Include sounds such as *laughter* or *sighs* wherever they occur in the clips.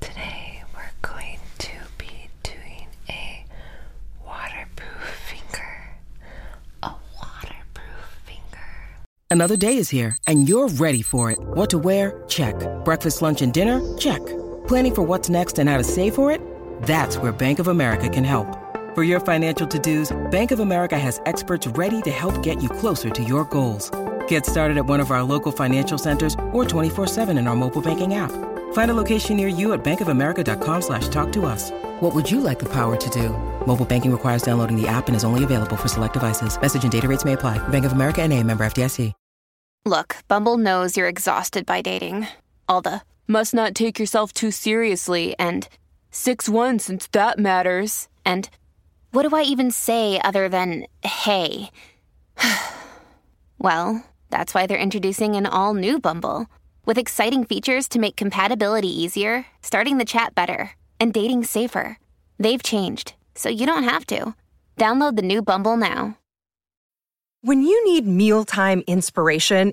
Today we're going to be doing a waterproof finger. A waterproof finger. Another day is here and you're ready for it. What to wear? Check. Breakfast, lunch, and dinner? Check. Planning for what's next and how to save for it? That's where Bank of America can help. For your financial to dos, Bank of America has experts ready to help get you closer to your goals. Get started at one of our local financial centers or 24-7 in our mobile banking app. Find a location near you at bankofamerica.com slash talk to us. What would you like the power to do? Mobile banking requires downloading the app and is only available for select devices. Message and data rates may apply. Bank of America and a member FDIC. Look, Bumble knows you're exhausted by dating. Alda must not take yourself too seriously and Six one since that matters. And what do I even say other than hey? *sighs* well, that's why they're introducing an all new Bumble with exciting features to make compatibility easier, starting the chat better, and dating safer. They've changed, so you don't have to. Download the new Bumble now. When you need mealtime inspiration,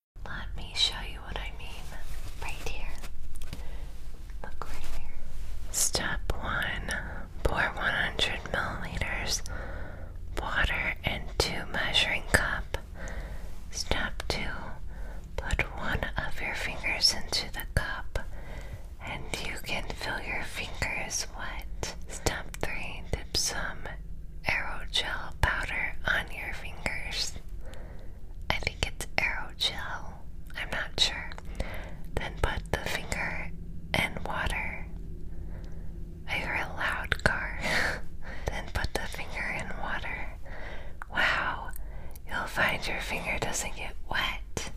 Let me show you what I mean right here. Look right here. Step one pour 100 milliliters water into measuring cup. Step two put one of your fingers into the cup and you can fill your fingers wet. Step three dip some Arrow gel powder on your fingers. I think it's arrow gel. I'm not sure. Then put the finger in water. I hear a loud car. *laughs* then put the finger in water. Wow, you'll find your finger doesn't get wet.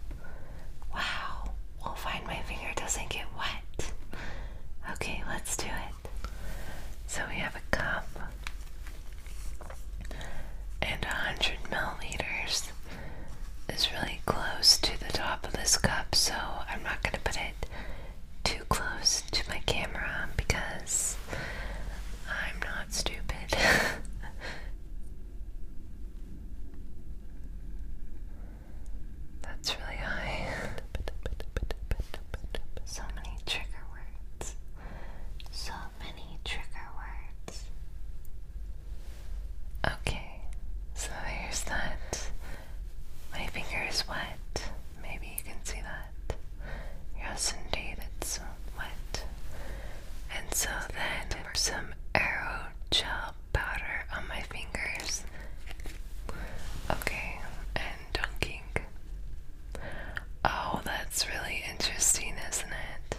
Wow, we'll find my finger doesn't get wet. Okay, let's do it. So we have a cup and 100 milliliters is really close to the top of this cup, so I'm not going to put it too close to my camera because I'm not stupid. *laughs* That's really high. *laughs* So many trigger words. So many trigger words. Okay, so here's that. My finger is wet. Maybe you can see that. Yes, indeed, it's wet. And so then some arrow gel powder on my fingers. Okay, Oh, that's really interesting, isn't it?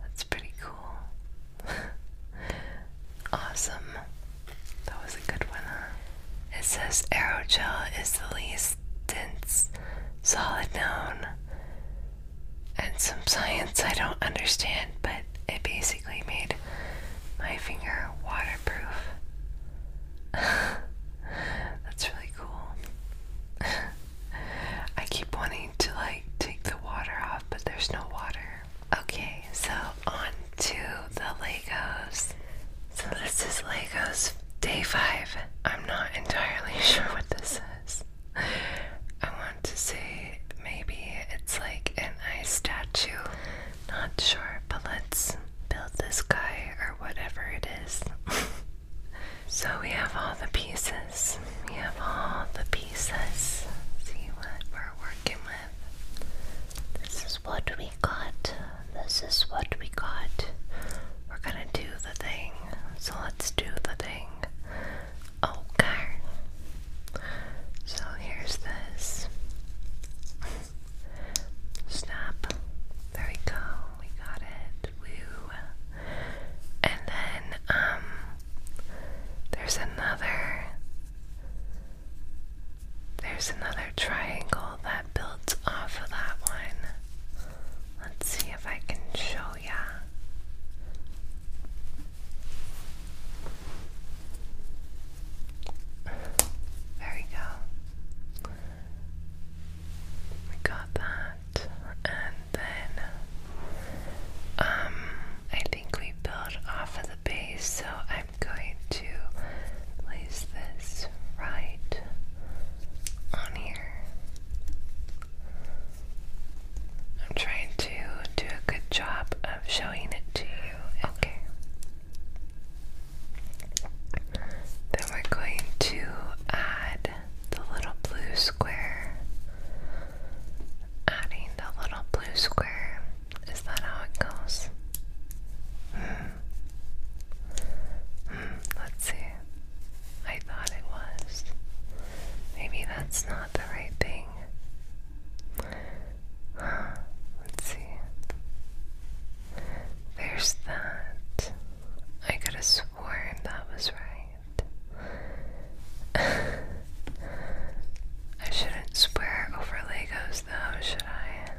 That's pretty cool. *laughs* awesome. That was a good one, It says aerogel is the least dense solid known. And some science I don't understand, but it basically basically made my finger waterproof. *laughs* That's really cool. *laughs* I keep wanting to like take the water off, but there's no water. Okay, so on to the Legos. So this is Legos day five. I'm not entirely *laughs* sure what this is. I want to say maybe it's like an ice statue not sure, but let's build this guy or whatever it is. *laughs* so we have all the pieces. We have all the pieces. See what we're working with. This is what we got. This is what we got. We're gonna do the thing. So let's do the thing. Okay. Oh, so here's this. Snap. There we go. We got it. Woo. And then, um, there's another. There's another triangle that builds off of that one. Let's see if I can show ya. There we go. We got that. And then um I think we built off of the base, so I'm going to place this right on here. I'm trying to do a good job of showing it to you. Okay. Then we're going to add the little blue square. Adding the little blue square. Is that how it goes? Mm. Mm, let's see. I thought it was. Maybe that's not the right thing. *sighs* Let's see. There's that. I could have sworn that was right. *laughs* I shouldn't swear over Legos though, should I?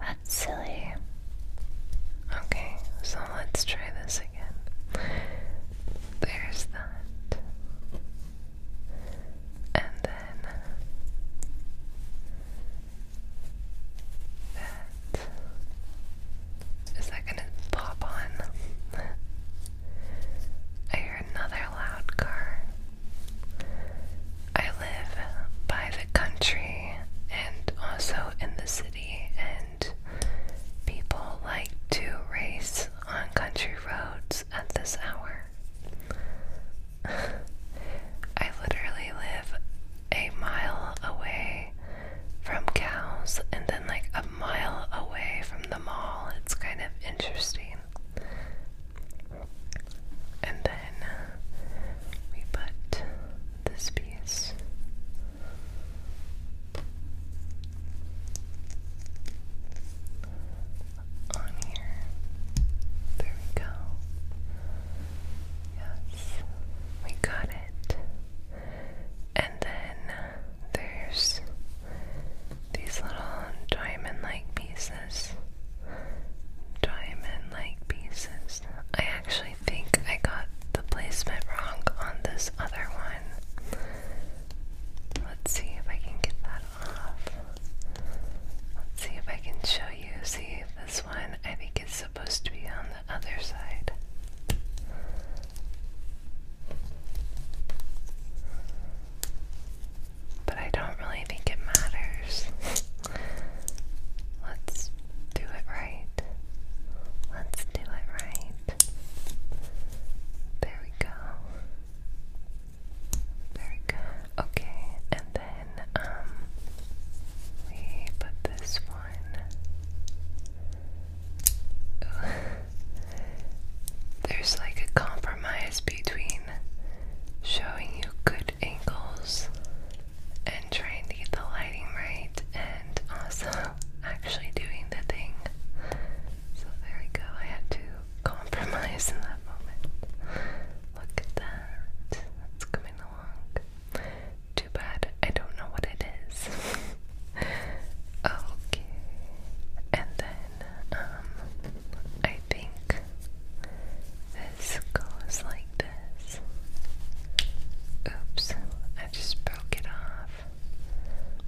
That's silly. Okay, so let's try this again. There's that and then that is that gonna pop on? I hear another loud car. I live by the country and also in the city, and people like to race on country roads at this hour. *laughs* I literally live a mile away from cows and then like a mile away from the mall. It's kind of interesting. And then uh, we put this piece on here. There we go. Yes, we got it. And then there's these little diamond like pieces. Diamond like pieces. I actually think I got the placement wrong on this other one. Let's see if I can get that off. Let's see if I can show you. See if this one I think is supposed to be on the other side. But I don't really think it matters. *laughs* Let's do it right. Let's do it right. There we go. Very good. Okay, and then um we put this one. *laughs* There's like a compromise between showing you good angles and trying to get the lighting right and also actually doing the thing. So there we go. I had to compromise in that moment. Look at that. It's coming along. Too bad I don't know what it is. *laughs* okay. And then, um, I think this goes like this. Oops, I just broke it off.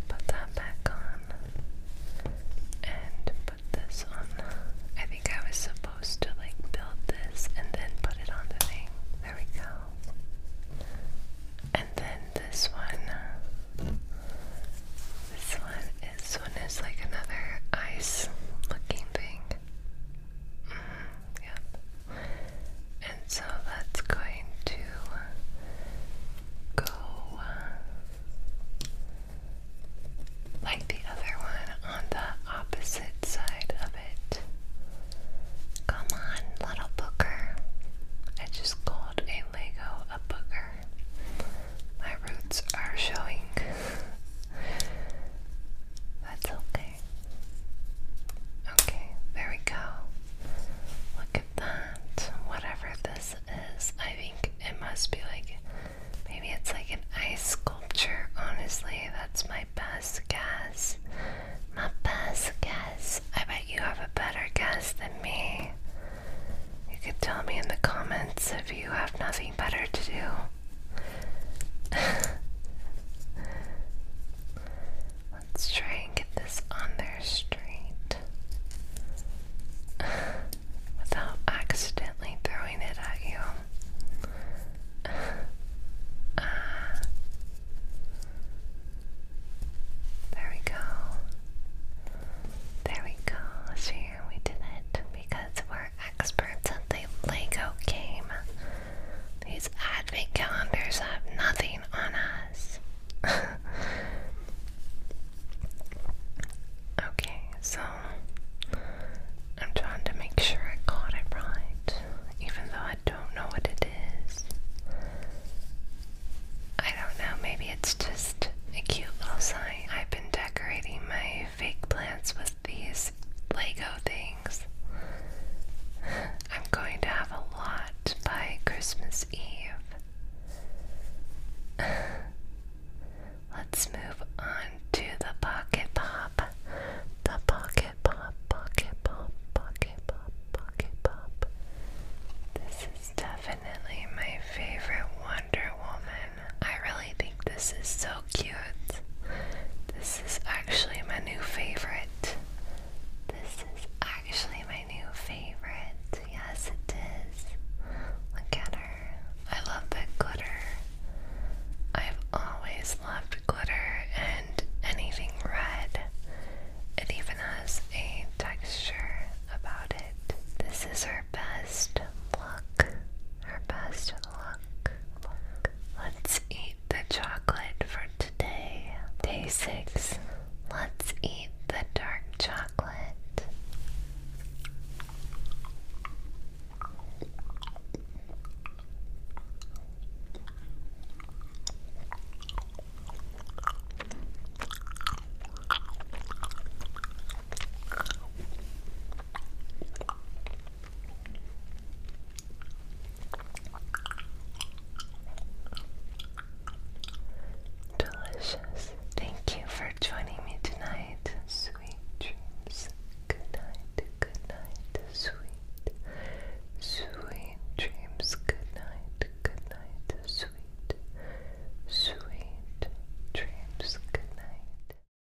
Put that back on. And put this on. I think I was supposed to like build this and then put it on the thing. There we go. And then this one. This one. This one is like another ice looking thing. Mm-hmm. Yep. And so that's going to go uh, like the other one on the opposite side of it. Come on, little booker. I just called a Lego a booker. My roots are showing. That's okay. Okay, there we go. Look at that. Whatever this is, I think it must be like maybe it's like an ice sculpture. Honestly, that's my best guess. My best guess. I bet you have a better guess than me. You could tell me in the comments if you have nothing better to do. *laughs* Let's try and get this on there straight *laughs* without accidentally throwing it at you. *laughs* Uh, there we go. There we go. So we did it because we're experts at the Lego game. These advent calendars have nothing on us. *laughs* okay, so I'm trying to make sure I got it right, even though I don't know what it is. I don't know, maybe it's just a cute little sign. I've been decorating my fake plants with these Lego things. I'm going to have a lot by Christmas Eve. Let's move on to the Pocket Pop. The Pocket Pop, Pocket Pop, Pocket Pop, Pocket Pop. This is definitely my favorite Wonder Woman. I really think this is so cute. This is actually my new favorite. This is actually my new favorite. Yes, it is. Look at her. I love that glitter. I've always loved glitter and anything red. It even has a texture about it. This is her best look. Her best look. look. Let's eat the chocolate for today. Day 6. Let's eat the dark chocolate. Delicious. Thank you for joining me tonight. Sweet dreams. Good night. Good night. Sweet. Sweet dreams. Good night. Good night. Sweet. Sweet dreams. Good night.